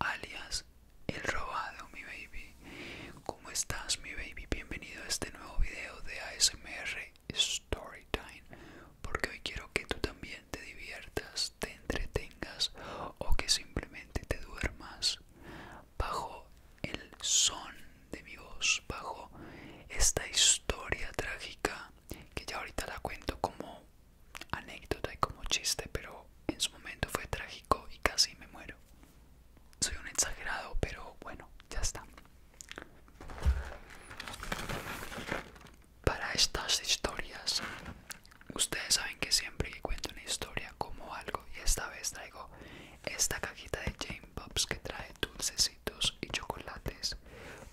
alias El Robado, mi baby. ¿Cómo estás, mi baby? Bienvenido a este nuevo video de ASMR Storytime. Porque hoy quiero que tú también te diviertas, te entretengas o que simplemente te duermas bajo el son de mi voz, bajo esta historia trágica que ya ahorita la cuento como anécdota y como chiste, pero en su momento fue trágico y casi me muero. Soy un exagerado, pero bueno, ya está. Para estas historias, ustedes saben que siempre que cuento una historia como algo, y esta vez traigo esta cajita de Jane Pops que trae dulcecitos y chocolates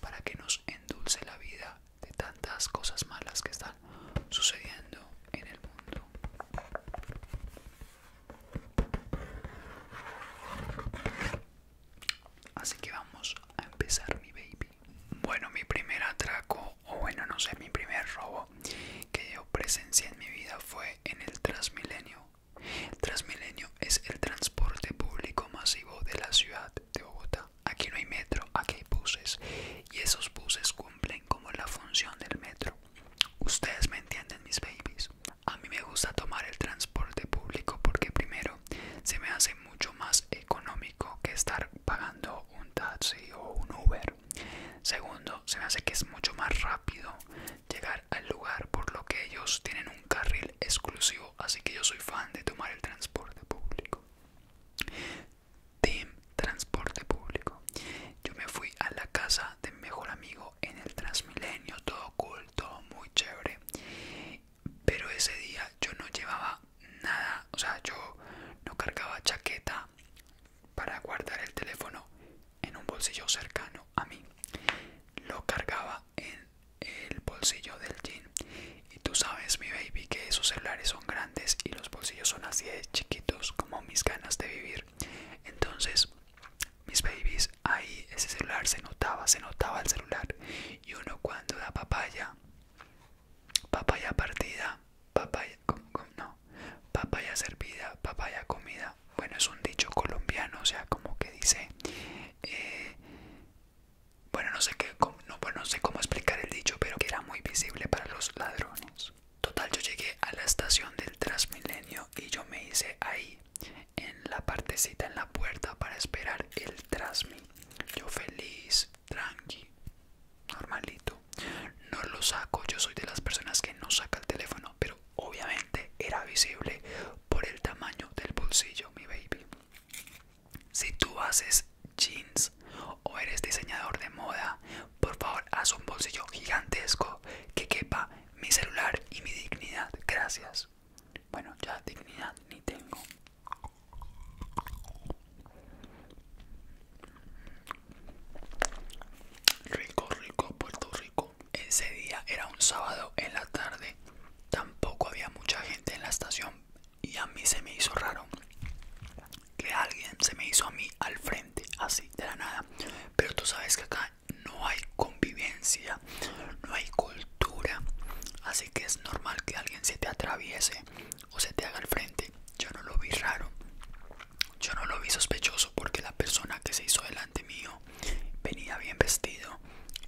para que nos endulce la vida de tantas cosas malas que están sucediendo en el mundo. Así que vamos a empezar mi baby. Bueno, mi primer atraco, o bueno, no sé, mi primer robo que yo presencié en mi vida fue en el Transmilenio. Transmilenio es el transporte público masivo de la ciudad de Bogotá. Aquí no hay metro, aquí hay buses y esos buses cumplen como la función del metro. Ustedes me entienden, mis babies. A mí me gusta tomar el transporte público porque primero se me hace mucho más económico que estar pagando un taxi o un Uber. Segundo, se me hace que es mucho más rápido llegar al lugar por lo que ellos tienen un carril exclusivo, así que yo soy fan de tomar el transporte público. Team Transporte Público. Yo me fui a la casa de mejor amigo en el Transmilenio, todo cool, todo muy chévere. Pero ese día yo no llevaba nada, o sea, yo no cargaba chaqueta para guardar el teléfono en un bolsillo cercano a mí. Lo cargaba en el bolsillo del jean y tú sabes, mi baby, que esos celulares son grandes y los bolsillos son así de chiquitos como mis ganas de vivir. Entonces, mis babies, ahí ese celular se notaba, se notaba el celular. Y uno cuando da papaya, papaya partida, papaya, no, papaya servida, papaya comida. Bueno, es un dicho colombiano, o sea, como que dice, eh, bueno, no sé qué no, pues no sé cómo explicar el dicho, pero que era muy visible para los ladrones. Total, yo llegué a la estación del Transmilenio y yo me hice ahí, en la partecita en la puerta para esperar el Transmi. Yo feliz, tranqui, normalito. No lo saco, yo soy de las personas que no saca el teléfono, pero obviamente era visible por el tamaño del bolsillo, mi baby. Si tú haces jeans o eres diseñador de moda, por favor haz un bolsillo gigantesco que quepa mi celular y mi dignidad. Gracias. Bueno, ya dignidad ni tengo. Rico, rico, Puerto Rico. Ese día era un sábado en la tarde. Tampoco había mucha gente en la estación y a mí se me hizo raro que alguien se me hizo a mí al frente, así de la nada. Pero tú sabes que acá no hay convivencia, no hay cultura, así que es normal que alguien se te atraviese o se te haga al frente. Yo no lo vi raro, yo no lo vi sospechoso porque la persona que se hizo delante mío venía bien vestido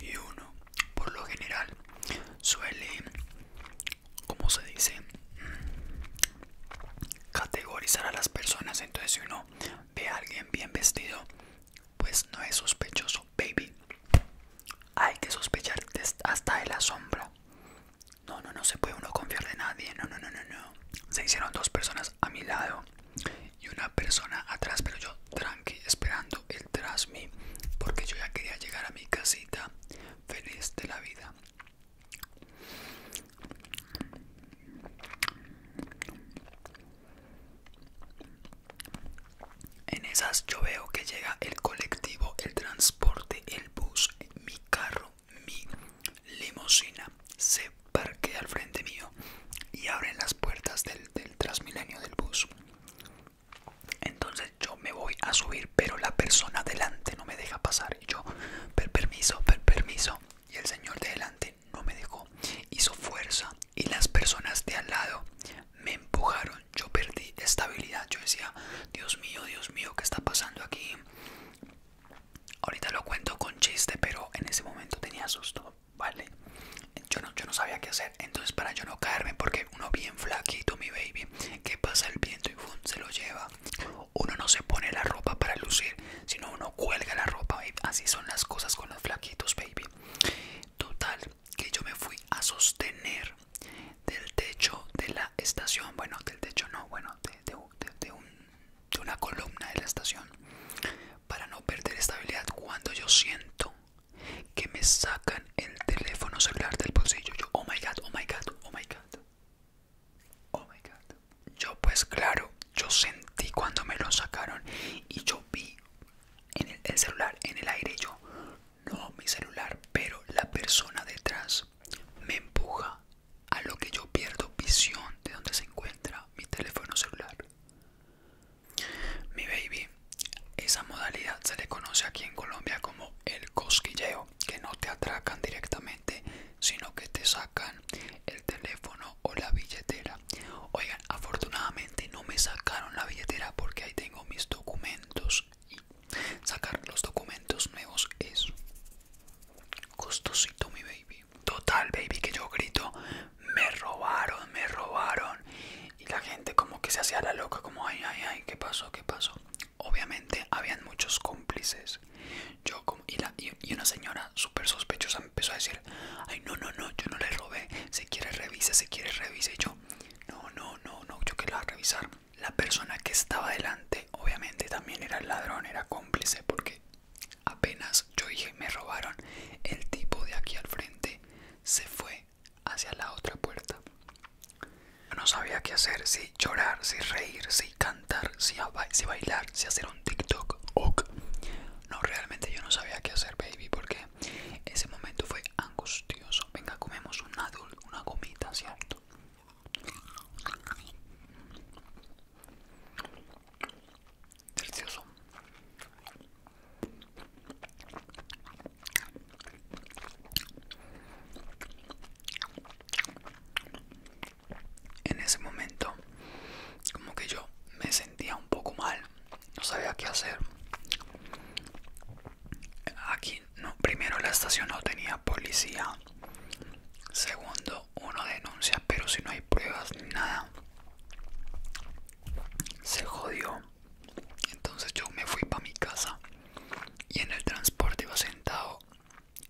y uno, por lo general, suele ¿cómo se dice? Mm, categorizar a las personas. Entonces, si uno ve a alguien bien vestido, pues no es sospechoso, baby. Hay que sospechar hasta de la sombra. No, no, no se puede uno confiar de nadie. No, no, no, no, no. Se hicieron dos personas a mi lado y una persona atrás, pero yo tranqui esperando el tras porque yo ya quería llegar a mi casita feliz de la vida. En esas yo veo que llega el colectivo, el transporte, el bus, mi carro, mi limusina se parquea al frente mío y abren las puertas del, del transmilenio del bus. Entonces yo me voy a subir, pero la persona delante no me deja pasar yo per permiso per permiso y el señor de delante no me dejó hizo fuerza y las personas de al lado me empujaron yo perdí estabilidad yo decía dios mío dios mío qué está pasando aquí ahorita lo cuento con chiste pero en ese momento tenía susto vale yo no, yo no sabía qué hacer entonces para yo no caerme porque uno bien flaquito mi baby que pasa el viento y se lo lleva uno no se pone la ropa para lucir, sino uno cuelga la ropa, Así son las cosas con los flaquitos, baby. Total, que yo me fui a sostener del techo de la estación. Bueno, del techo no, bueno, de, de una columna de la estación. Para no perder estabilidad cuando yo siento que me sacan el teléfono celular del bolsillo. oh my god, oh my god, oh my god. Oh my god. Yo pues claro, yo sentí cuando me lo sacaron y yo vi en el, celular en el aire yo no mi celular, pero la persona detrás me empuja a lo que yo pierdo visión de donde se encuentra mi teléfono celular. Mi baby, esa modalidad se le conoce aquí en Colombia como el cosquilleo que no te atracan directamente sino que te sacan el teléfono o la billetera oigan afortunadamente no me sacaron la billetera porque ahí tengo mis documentos y sacar los documentos nuevos es costosito mi baby total baby que yo grito me robaron me robaron y la gente como que se hacía la loca como ay ay ay qué pasó qué pasó Obviamente habían muchos cómplices. Yo y, una señora súper sospechosa empezó a decir, ay no, no, no, yo no le robé, se quiere revise, se quiere revise yo, no, no, no, no, yo quiero revisar. La persona que estaba delante obviamente también era el ladrón, era cómplice, porque apenas yo dije, me robaron, el tipo de aquí al frente se fue hacia la otra puerta. No sabía qué hacer, si llorar, si reír, si cantar, si, bailar, si hacer un TikTok. Ok. No, realmente yo no sabía qué hacer, baby, porque ese momento fue angustioso. Venga, comemos un adult, una gomita, ¿cierto? Delicioso. En ese momento, como que yo me sentía un poco mal, no sabía qué hacer. Aquí, no, primero la estación no tenía policía. Segundo, uno denuncia, pero si no hay pruebas ni nada, se jodió. Entonces yo me fui para mi casa y en el transporte iba sentado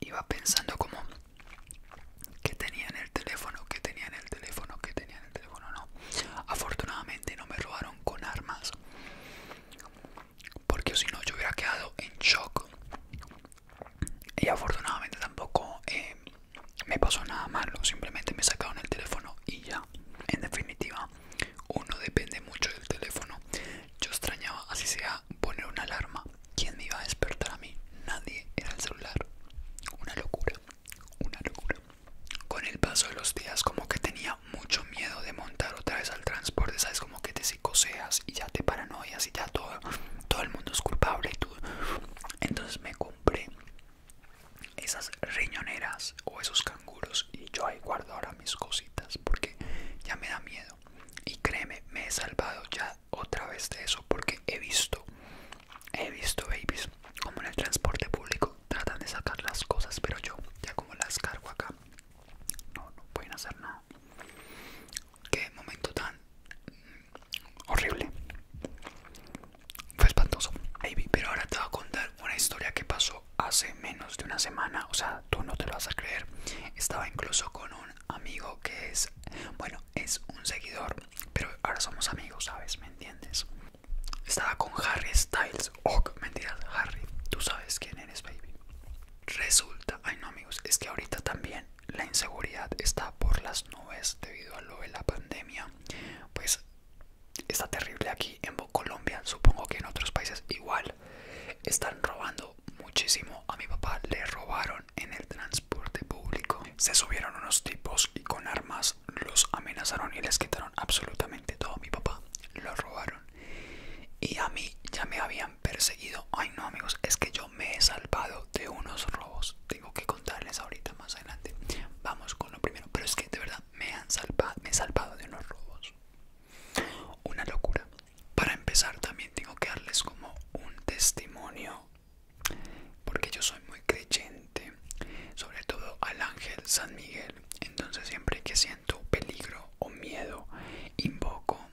iba pensando como que tenía en el teléfono, que tenía en el teléfono, que tenía en el teléfono, no. Afortunadamente no me robaron con armas. Porque si no yo hubiera quedado en shock. Y afortunadamente tampoco eh, me pasó nada malo. Simplemente me sacaron el teléfono y ya. En definitiva, uno depende mucho del teléfono. Yo extrañaba, así sea, poner una alarma. ¿Quién me iba a despertar a mí? Nadie. Era el celular. Una locura. Una locura. Con el paso de los días, como que tenía mucho miedo de montar otra vez al transporte. Sabes, como que te psicoseas y ya te paranoias y ya todo, el mundo es culpable y tú. Entonces me compré esas riñoneras o esos canguros y yo ahí guardo ahora mis cositas porque ya me da miedo. Y créeme, me he salvado ya otra vez de eso porque he visto, he visto babies como en el transporte público tratan de sacar las cosas, pero yo ya como las cargo acá, no, no pueden hacer nada. Qué momento tan horrible. Fue espantoso. Baby, pero ahora te voy a contar una historia que pasó hace menos de una semana, o sea, tú no te lo vas a creer. Estaba incluso con un amigo que es, bueno, es un seguidor, pero ahora somos amigos, ¿sabes? ¿Me entiendes? Estaba con Harry Styles. Oh, mentiras, Harry. Tú sabes quién eres, baby. Resulta, ay no amigos, es que ahorita también la inseguridad está por las nubes debido a lo de la pandemia. Pues está terrible aquí en Colombia, supongo que en otros países igual. Están robando muchísimo. A mi papá le robaron en el transporte público. Se subieron unos tipos y con armas los amenazaron y les quitaron absolutamente todo. Mi papá lo robaron. Y a mí ya me habían perseguido. Ay no amigos, es que yo me he salvado de unos robos. Tengo que contarles ahorita más adelante. Vamos con lo primero. Pero es que de verdad me han salvado, me salvado de unos robos. Una locura. Para empezar también tengo que darles como un testimonio, porque yo soy muy creyente, sobre todo al ángel San Miguel. Entonces siempre que siento peligro o miedo, invoco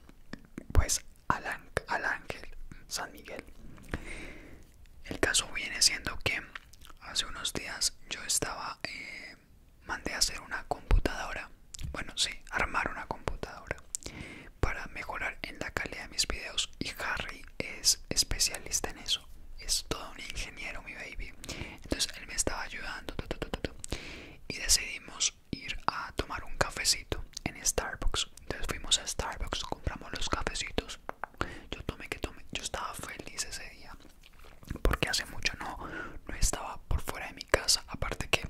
pues al, ángel San Miguel. El caso viene siendo que hace unos días yo estaba, eh, mandé a hacer una computadora bueno, sí, armar una computadora para mejorar en la calidad de mis videos y Harry es especialista en eso. Es todo un ingeniero, mi baby. Entonces él me estaba ayudando y decidimos ir a tomar un cafecito en Starbucks. Entonces fuimos a Starbucks, compramos los cafecitos. Yo tomé que tomé, yo estaba feliz ese día porque hace mucho no, estaba por fuera de casa. Aparte que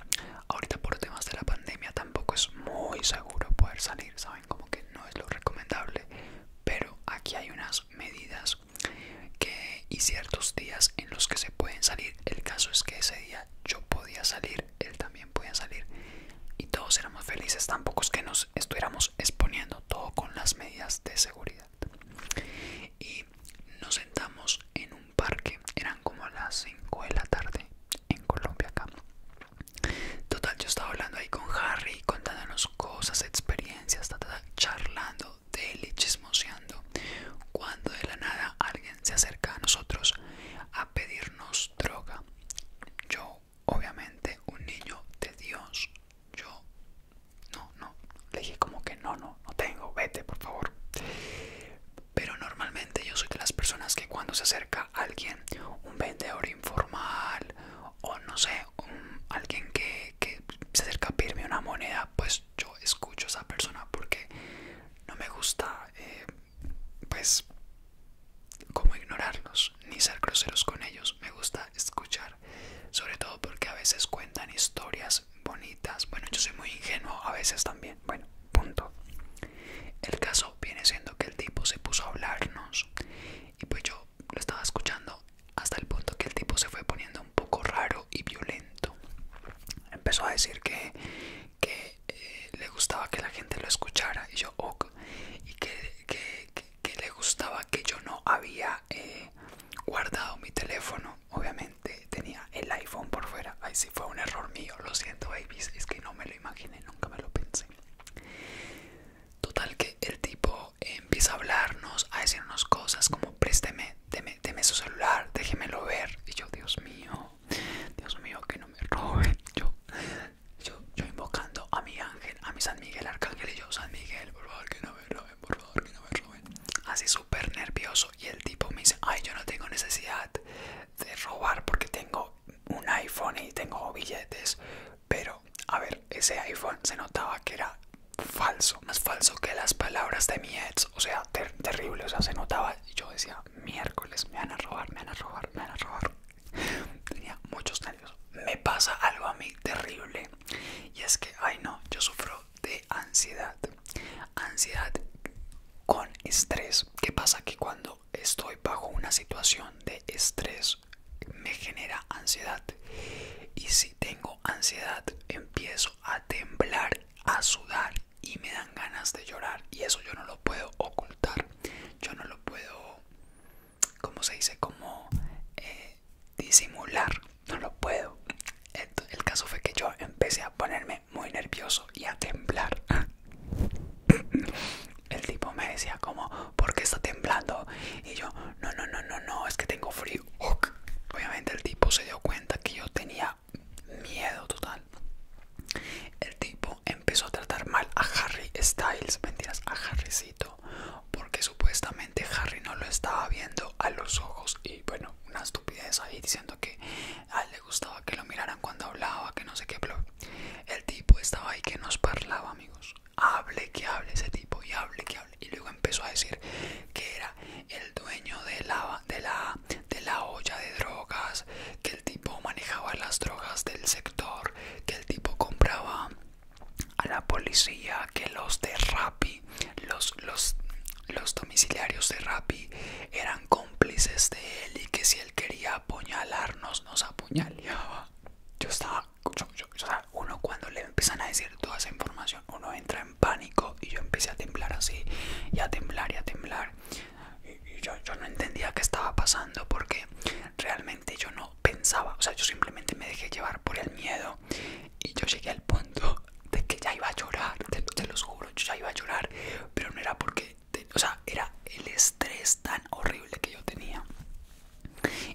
ahorita por temas de la pandemia tampoco es muy seguro poder salir, saben como que no es lo recomendable. Pero aquí hay unas medidas que y ciertos días en los que se pueden salir. El caso es que ese día yo podía salir, él también podía salir y todos éramos felices. Tampoco es que nos estuviéramos exponiendo todo con las medidas de seguridad. Y nos sentamos en un parque, eran como las 5 de la tarde en Colombia acá. Total, yo estaba hablando ahí con Harry, contándonos cosas, experiencias, charlando, deli, chismoseando, cuando de la nada alguien se acerca a nosotros a pedirnos droga. Yo, obviamente, un niño de Dios, yo no, no, le dije como que no, no, no tengo, vete por favor. Pero normalmente yo soy de las personas que cuando se acerca alguien, un vendedor informal o no sé, alguien que, se acerca a pedirme una moneda, pues yo escucho a esa persona porque no me gusta, eh, pues, como ignorarlos ni ser groseros con ellos. Me gusta escuchar, sobre todo porque a veces cuentan historias bonitas. Bueno, yo soy muy ingenuo a veces también. Bueno. Punto. El caso viene siendo que el tipo se puso a hablarnos y pues yo lo estaba escuchando hasta el punto que el tipo se fue poniendo un poco raro y violento. Empezó a decir que, eh, le gustaba que la gente lo escuchara y yo, ok, y que, le gustaba que yo no había eh, guardado mi teléfono, obviamente tenía el iPhone por fuera. Ay, si fue un error mío, lo siento, babies. Es que no me lo imaginé, nunca me lo pensé. Total, que el tipo empieza a hablarnos, a decirnos cosas como: présteme, deme, su celular, déjemelo ver. Y yo, Dios mío, Dios mío, que no me robe Yo, yo, invocando a mi ángel, a mi San Miguel Arcángel y yo, San Miguel, por favor, que no me roben, por favor, que no me roben. Así súper nervioso. Y el tipo me dice: Ay, yo no tengo necesidad de robar porque tengo un iPhone y tengo billetes, pero a ver, ese iPhone se notaba que era falso, más falso que las palabras de mi ex, o sea, terrible, o sea, se notaba, y yo decía, miércoles, me van a robar, me van a robar, me van a robar. Tenía muchos nervios. Me pasa algo a mí terrible y es que, ay no, yo sufro de ansiedad, ansiedad con estrés. ¿Qué pasa? Que cuando estoy bajo una situación de estrés me genera ansiedad. Y si tengo ansiedad empiezo a temblar, a sudar y me dan ganas de llorar. Y eso yo no lo puedo ocultar. Yo no lo puedo, como se dice, como eh, disimular. No lo puedo. El caso fue que yo empecé a ponerme muy nervioso y a temblar El tipo me decía como, ¿por qué está temblando? Y yo, no, no, no, no, no, es que tengo frío. Obviamente el tipo se dio cuenta que yo tenía miedo total. El tipo empezó a tratar mal a Harry Styles, mentiras, a Harrycito, porque supuestamente Harry no lo estaba viendo a los ojos y bueno, una estupidez ahí diciendo que a ah, le gustaba que lo miraran cuando hablaba, que no sé qué, el tipo estaba ahí que nos parlaba, amigos. Hable que hable ese tipo y hable que hable. Y luego empezó a decir que era el dueño de la, de la, de la olla de drogas, que el tipo manejaba las drogas del sector, que el tipo compraba a la policía, que los de Rappi, los, los, los domiciliarios de Rappi eran cómplices de él y que si él quería apuñalarnos, nos apuñaleaba. Yo estaba, o sea, uno cuando le empiezan a decir toda esa información, uno entra en pánico y yo empecé a temblar así, y a temblar y a temblar. Y, yo, no entendía qué estaba pasando porque realmente yo no pensaba, o sea, yo simplemente me dejé llevar por el miedo y yo llegué al punto de que ya iba a llorar, te, lo juro, yo ya iba a llorar, pero no era porque o sea, era el estrés tan horrible que yo tenía.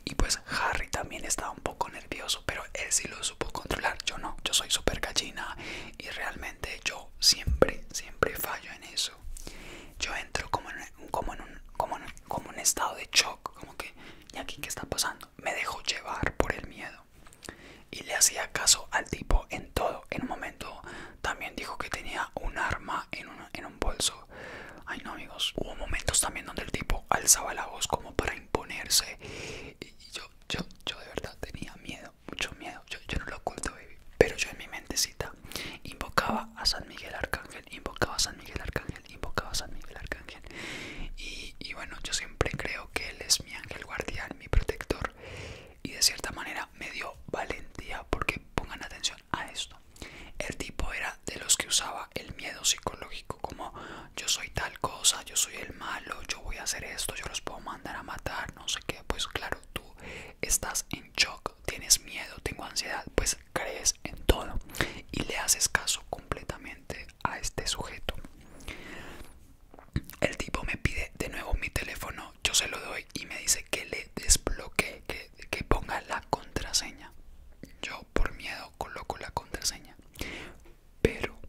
Y pues Harry también estaba un poco nervioso, pero él sí lo supo controlar, yo no, yo soy súper gallina y realmente yo siempre, siempre fallo en eso. Yo entro como en, como en, un, como como en estado de shock, como que, ¿y aquí qué está pasando? Me dejo llevar por el miedo. Y le hacía caso al tipo en todo. En un momento también dijo que tenía un arma en un, en un bolso. Ay no amigos, hubo momentos también donde el tipo alzaba la voz como para imponerse. Y yo, yo, yo de verdad tenía miedo, mucho miedo. Yo, no lo oculto, Pero yo en mi mentecita invocaba a San Miguel Arcángel, invocaba a San Miguel Arcángel, invocaba a San Miguel Arcángel. Y, y bueno, yo siempre creo que él es mi ángel guardián, mi protector y de cierta manera me dio valentía porque pongan atención a esto. El tipo era de los que usaba el miedo psicológico como yo soy tal cosa, yo soy el malo, yo voy a hacer esto, yo los puedo mandar a matar, no sé qué. Pues claro, tú estás en shock, tienes miedo, tengo ansiedad, pues crees en todo y le haces caso completamente a este sujeto. El tipo me pide de nuevo mi teléfono yo se lo doy y me dice que le desbloquee, que, que ponga la contraseña. Yo por miedo coloco la contraseña. Pero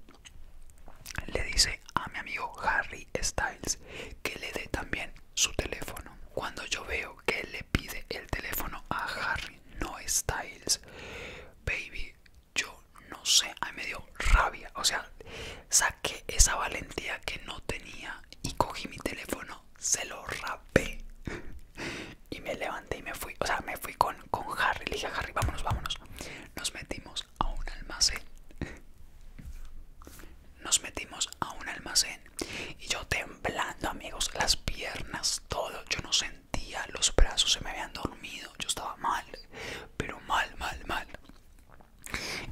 le dice a mi amigo Harry Styles que le dé también su teléfono. Cuando yo veo que le pide el teléfono a Harry, no Styles, baby, yo no sé, a me dio rabia. O sea, saqué esa valentía que no tenía y cogí mi teléfono, se lo rapé y me levanté y me fui. O sea, me fui con, con Harry, le dije Harry, vámonos, vámonos. Nos metimos a un almacén. Nos metimos a un almacén y yo temblando, amigos, las piernas, todo. Yo no sentía, los brazos se me habían dormido, yo estaba mal, pero mal, mal, mal.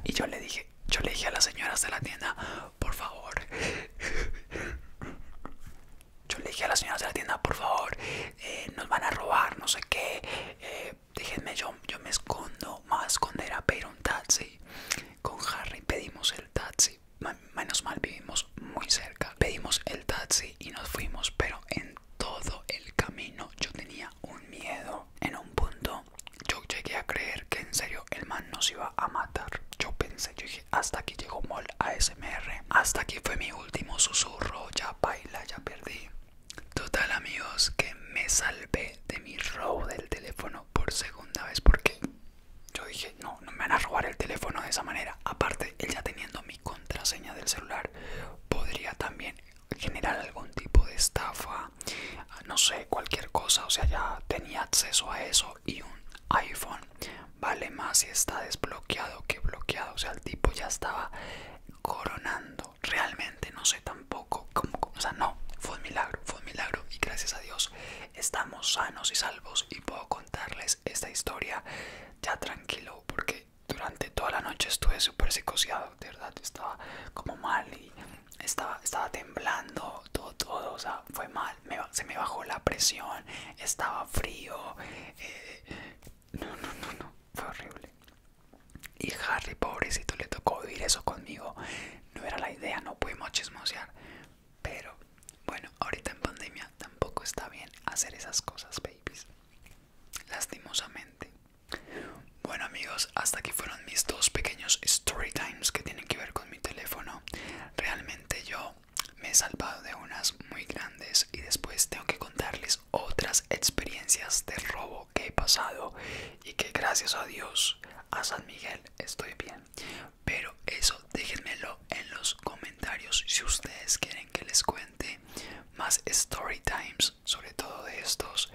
Y yo le dije, yo le dije a las señoras de la tienda, por favor. Yo le dije a las señoras de la tienda, por favor, eh, nos van a robar, no sé qué. Eh, déjenme, yo, yo me escondo, me voy a esconder a pedir un taxi. Con Harry pedimos el taxi. Menos mal vivimos muy cerca. Pedimos el taxi y nos fuimos, pero en todo el camino yo tenía un miedo. En un punto yo llegué a creer que en serio el man nos iba a matar. Yo pensé, yo dije, hasta aquí llegó Mol ASMR. Hasta aquí fue mi último susurro. Ya baila, ya perdí. Total amigos, que me salvé de mi robo del teléfono por segunda vez porque yo dije, no, no me van a robar el teléfono de esa manera. Aparte, él ya teniendo mi contraseña del celular, podría también generar algún tipo de estafa, no sé, cualquier cosa, o sea, ya tenía acceso a eso y un iPhone vale más si está desbloqueado que bloqueado, o sea, el tipo ya estaba coronando, realmente no sé tampoco, cómo, o sea, no, fue un milagro, fue un milagro y gracias a Dios estamos sanos y salvos y puedo contarles esta historia ya tranquilo porque durante toda la noche estuve súper psicociado de verdad, estaba como mal y estaba, temblando, todo, todo, o sea, fue mal, se me bajó la presión, estaba frío, eh, no, no, no, no, fue horrible. Y Harry, pobrecito, le tocó vivir eso conmigo, no era la idea, no pudimos chismosear, pero bueno, ahorita en pandemia tampoco está bien hacer esas cosas, babies, lastimosamente. Bueno amigos, hasta aquí fueron mis dos pequeños story times que tienen que ver con mi teléfono. Realmente yo me he salvado de unas muy grandes y después tengo que contarles otras experiencias de robo que he pasado y que gracias a Dios, a San Miguel, estoy bien. Pero eso déjenmelo en los comentarios si ustedes quieren que les cuente más story times, sobre todo de estos.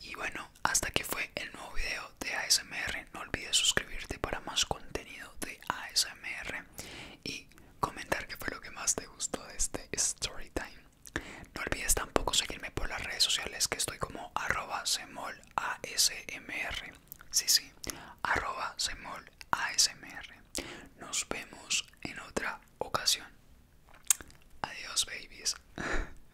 Y bueno, hasta aquí fue el nuevo video de ASMR. No olvides suscribirte para más contenido de ASMR y comentar qué fue lo que más te gustó de este Storytime No olvides tampoco seguirme por las redes sociales que estoy como @semolasmr. Sí, sí, @semolasmr. Nos vemos en otra ocasión. Adiós, babies.